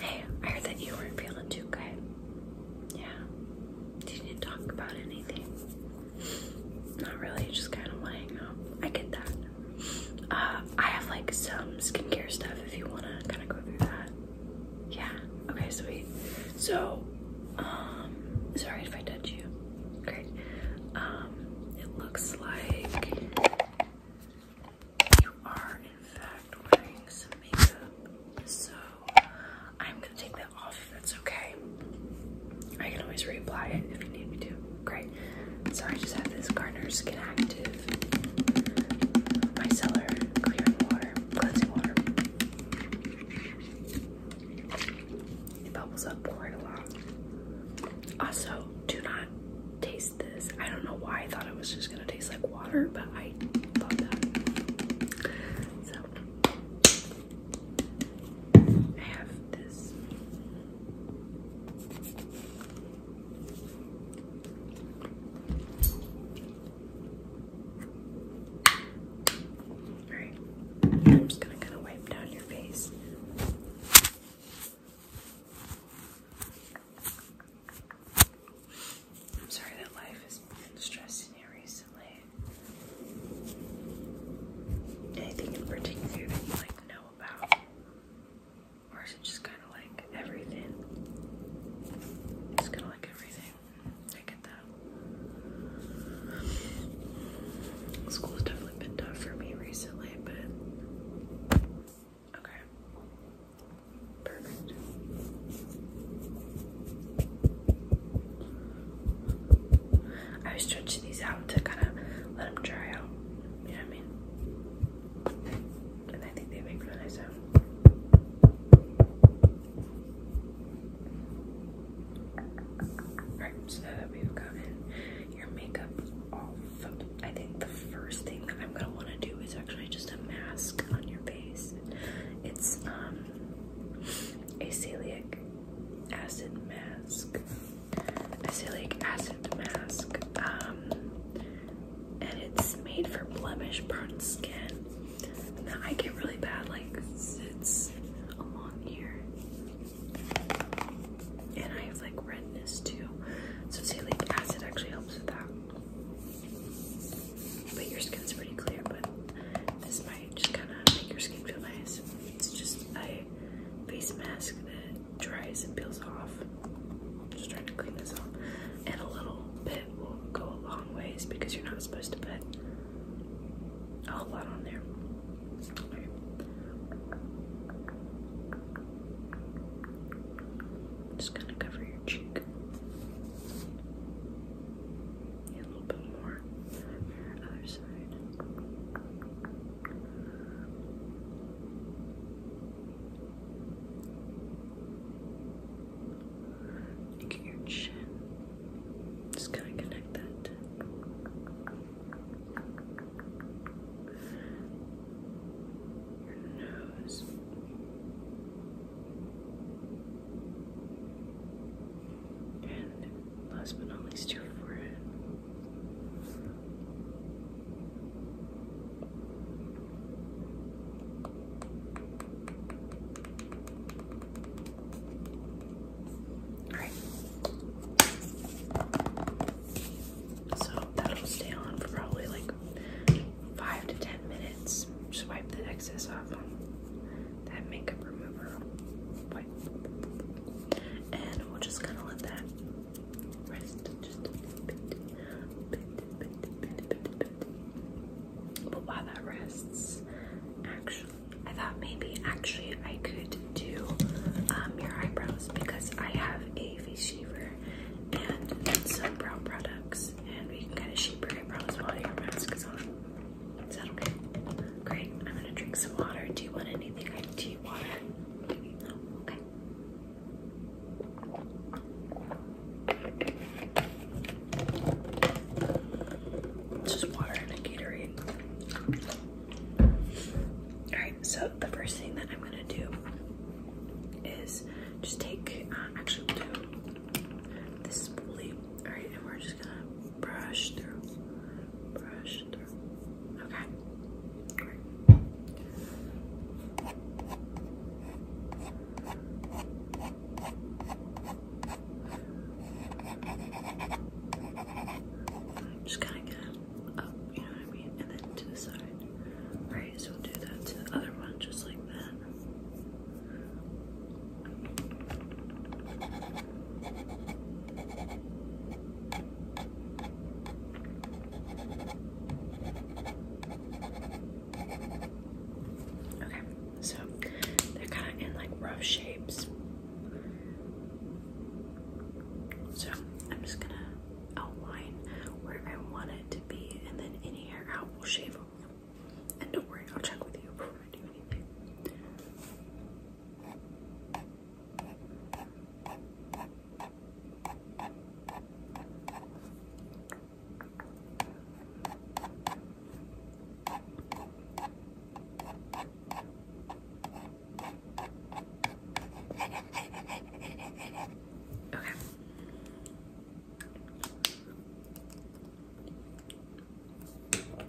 Hey, I heard that you weren't feeling too good. Yeah. Did you talk about anything? Not really, just kind of laying out. I get that. Uh, I have like some skincare stuff if you want to kind of go through that. Yeah. Okay, sweet. So, um, sorry if I touch you. Great. Um, it looks like you are, in fact, wearing some makeup, so I'm gonna take that off if that's okay. I can always reapply it if you need me to. Great. So I just have this Garners Get Active Micellar Clearing Water, Cleansing Water. It bubbles up quite a lot. Also, do not taste this. I don't know why I thought it was just gonna taste like water, but I thought that. So I have this. Alright, I'm just gonna kind of wipe down your face. I'm sorry that life has been stressing you recently. Anything in particular that you like know about? Or is it just kind of like everything? It's kind of like everything. I get that. School's definitely been tough for me recently, but Okay. Perfect. I was stretching these out to kind of let them dry out. You know what I mean? And I think they make really nice sound. Right, so we've gotten your makeup off. I think the first thing that I'm gonna want to do is actually just a mask on your face. It's um, a salicylic acid mask. Acylic acid mask. Um, and it's made for blemish prone skin. Now I get really bad like sits along here and I have like redness too. So salicylic acid actually helps with that. But your skin's pretty clear, but this might just kind of make your skin feel nice. It's just a face mask that dries and peels off. I'm just trying to clean this off. And a little bit will go a long ways because you're not supposed to put a whole lot on there. Just gonna cover your cheek. a little bit more. Other side. your chin. Just kind of connect that your nose. And last but not least, your forehead. All right. So that'll stay on for probably like five to ten minutes. Just wipe the excess off that makeup remover And we'll just kind of let that rest just a bit, bit. But while that rests, actually, I thought maybe actually I could do um, your eyebrows because I have a face shaver and some brow products, and we can kind of shape your eyebrows while your mask is on. Is that okay? Great. I'm gonna drink some water. Do you want anything? do you water? Okay. just water and a Gatorade. All right so the first thing that I'm gonna do is just take, uh, actually, we'll do this spoolie. Alright, and we're just gonna brush through, brush through. Okay. just gonna up, you know what I mean? And then to the side. Alright, will do that to the other one just like that. Okay, so they're kind of in like rough shapes. So I'm just gonna outline where I want it to be, and then any hair out will shave off. And don't worry, I'll check with you before I do anything. Okay.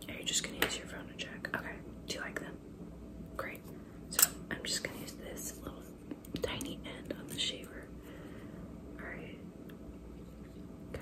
Are you just gonna use your phone to check? Okay. Do you like them? Great. So I'm just gonna use this little tiny end on the shaver. Alright. Okay.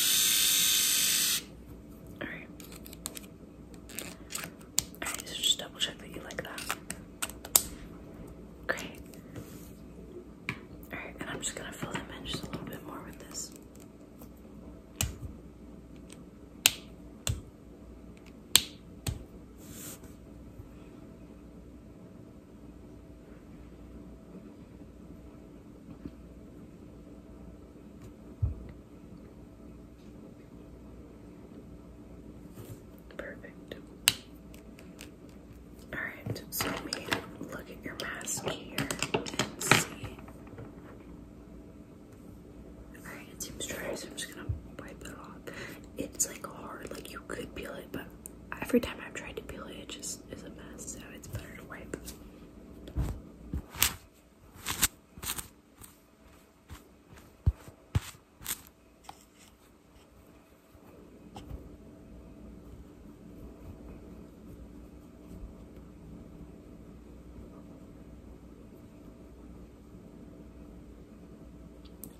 Alright. Alright, so just double check that you like that. Great. Alright, and I'm just gonna fill them in just a little bit more with this. Perfect. Alright, so let me look at your mask here and see. Alright, it seems dry, so I'm just gonna wipe it off. It's like hard, like you could peel it, but every time I've tried to peel it, it just is a mess, so it's better to wipe.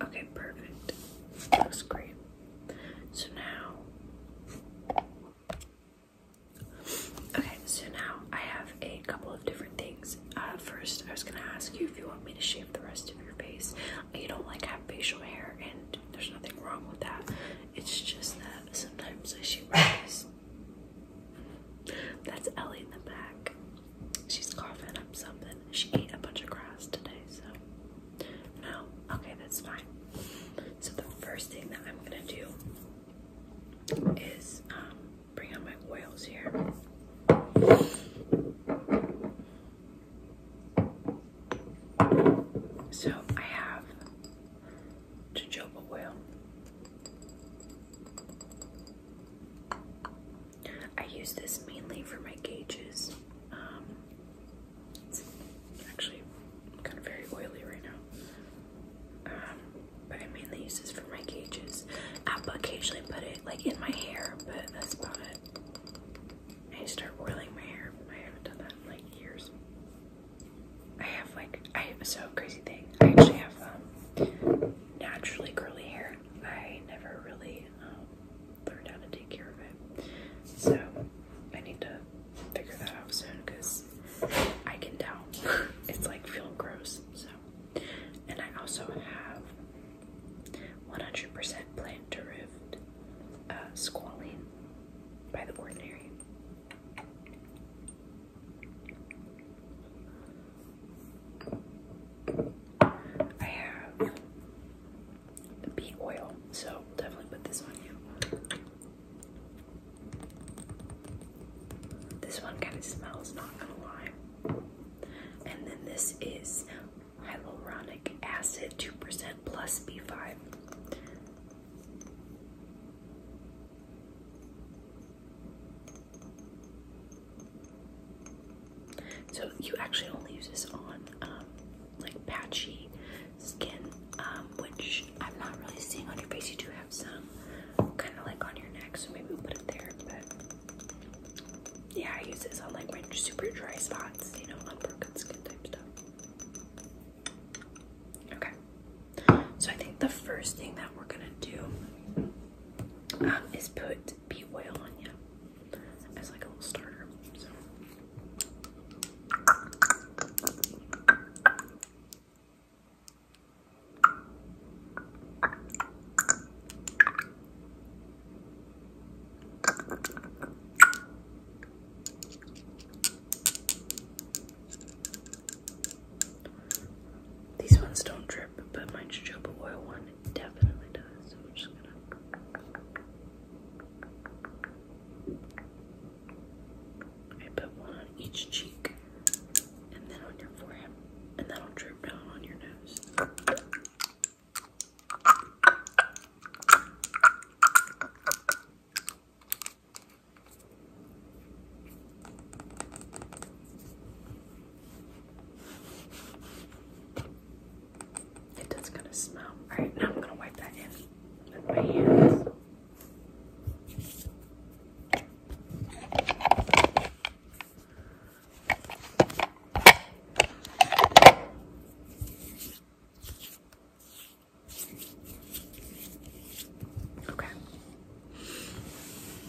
Okay, perfect. That looks great. So now Okay, so now I have a couple of different things. Uh, first, I was gonna ask you if you want me to shave the rest of your face. You don't like have facial hair, and there's nothing wrong with that. It's just that sometimes I shave my That's Ellie in the back. She's coughing up something. She ate a bunch of grass today, so no? Okay, that's fine. So the first thing that I'm gonna do is um, bring out my oils here. So I have jojoba oil. I use this mainly for my gauges. Um, it's actually kind of very oily right now. Um, but I mainly use this for my cages. I'll occasionally put it like in my hair, but that's about it. I start whirling my hair. I haven't done that in like years. I have like I have so crazy thing. I actually have um, naturally curly hair. I never really um, learned how to take care of it. So I need to figure that out soon because I can tell it's like feeling gross. So, and I also have 100% plant derived uh, squalene by the ordinary. I have the beet oil, so definitely put this on you. This one kind of smells, not gonna lie. And then this is hyaluronic acid 2% plus B5. So you actually only use this on um, like patchy skin, um, which I'm not really seeing on your face. You do have some kind of like on your neck, so maybe we'll put it there. But yeah, I use this on like my super dry spots, you know, broken skin type stuff. Okay, so I think the first thing that we're gonna do um, is put bee oil on you as like a little starter. So these ones don't drip, but my jojoba oil one definitely does. So I'm just gonna I put one on each cheek, and then on your forehead, and that'll drip down on your nose. It does kind of smell. Alright, now I'm going to wipe that in. Okay.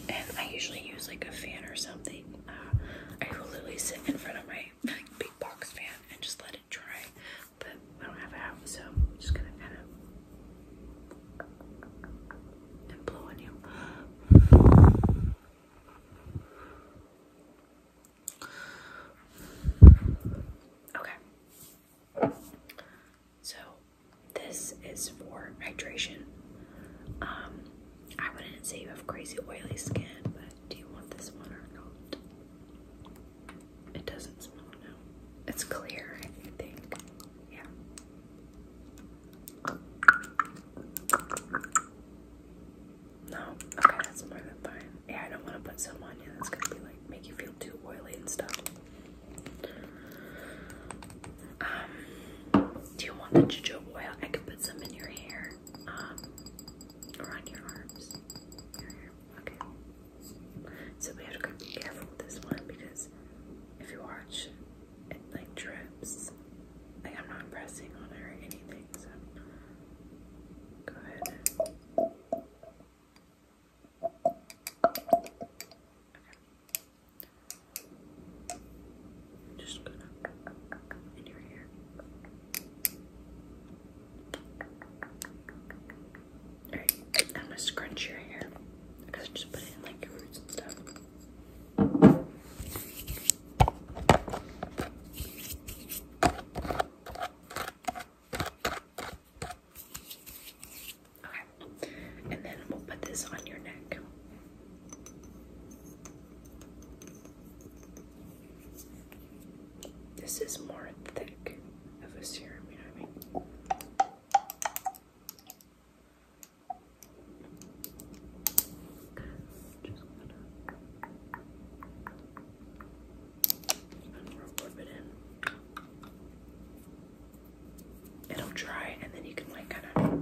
And I usually use like a fan or something. Uh, I will literally sit in front of my big box fan and just let it dry but I don't have a hat, so I'm just gonna kind of and you. Okay. So this is for hydration. Um, I wouldn't say you have crazy oily skin, but do you want this one or not? It doesn't smell, no. It's clear, I think. Yeah. No, okay, that's more than fine. Yeah, I don't want to put some on you. That's gonna be like make you feel too oily and stuff. Um, do you want the jojoba oil? I could put some in your hair, um, or on your arms. Okay. So we have to be careful with this one because if you watch, it like drips. Like I'm not pressing on it or anything, so go ahead. I'm just gonna in your hair. Alright, I'm gonna scrunch your hair just put it like roots stuff. Okay, and then we'll put this on your neck. This is more thick of a serum, you know what I mean? Just gonna rub it in. It'll dry, and then you can like kind of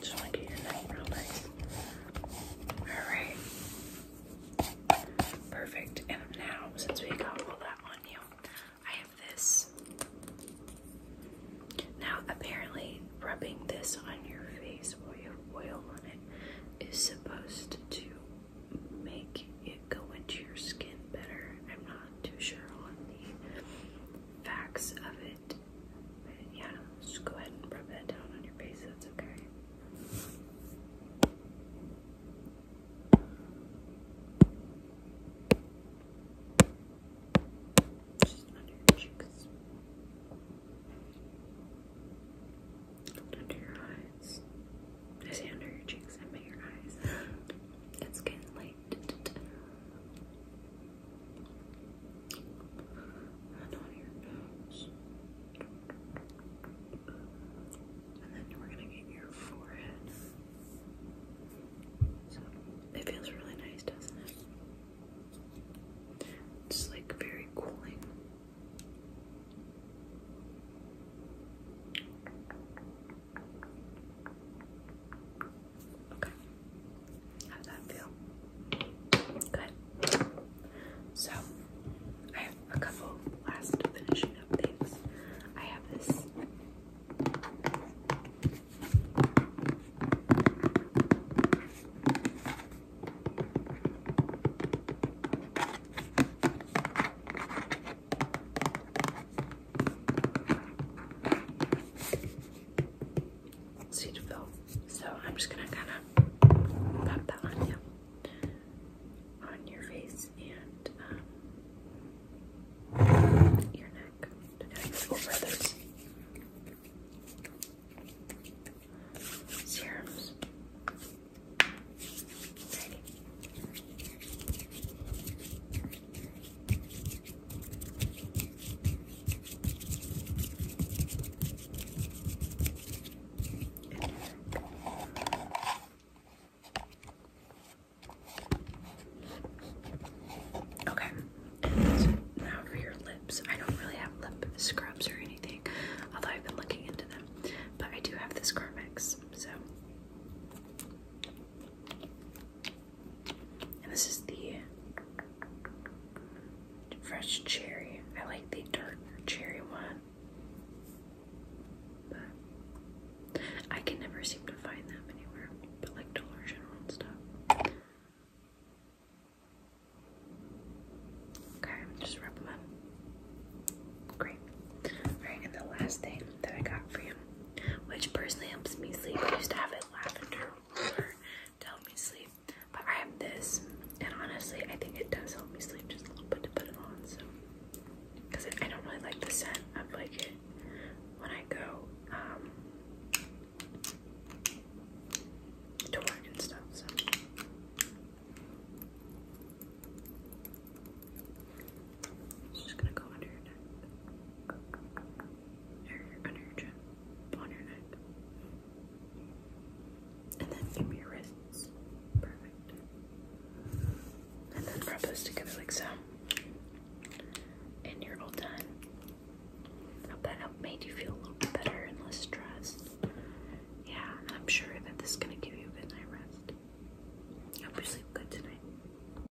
just want to get your neck real nice. Alright. Perfect. And now, since we got all that on you, I have this. Now, apparently, rubbing this on your face while you have oil on it is supposed to make it go into your skin better. I'm not too sure on the facts of it. But yeah, just go ahead and rub that down on your face. That's okay. Just under your cheeks. under your eyes. I under your cheeks, I meant your eyes. It's getting late and on your nose. And then we're gonna get your forehead. it feels really nice, doesn't it? It's like very cooling. Okay. How does that feel? Good. So, I have a couple last finishing up things. I have this seed fill. So I'm just gonna kind of pop that on on your face and um, your neck. Just over those serums. Okay, now for your lips. I don't really have lip scrubs or anything, although I've been looking into them, but I do have this Carmex, so. And this is the fresh cherry. I like the dark cherry one. But I can never seem to find them anywhere, but like Dollar General stuff. Okay, just rub them Great. Alright, and the last thing that I got for you which personally helps me sleep. I used to have a lavender to help me sleep, but I have this, and honestly, I think it does help me sleep just a little bit to put it on. So, because I don't really like the scent of like it when I go um, to work and stuff. So. I'm just gonna go under your neck under your chin, on your neck, and then give me your wrists. Perfect. And then wrap this together like so. And you're all done. Hope that helped made you feel better and less stressed. Yeah, I'm sure that this is gonna give you a good night rest. I hope you sleep good tonight.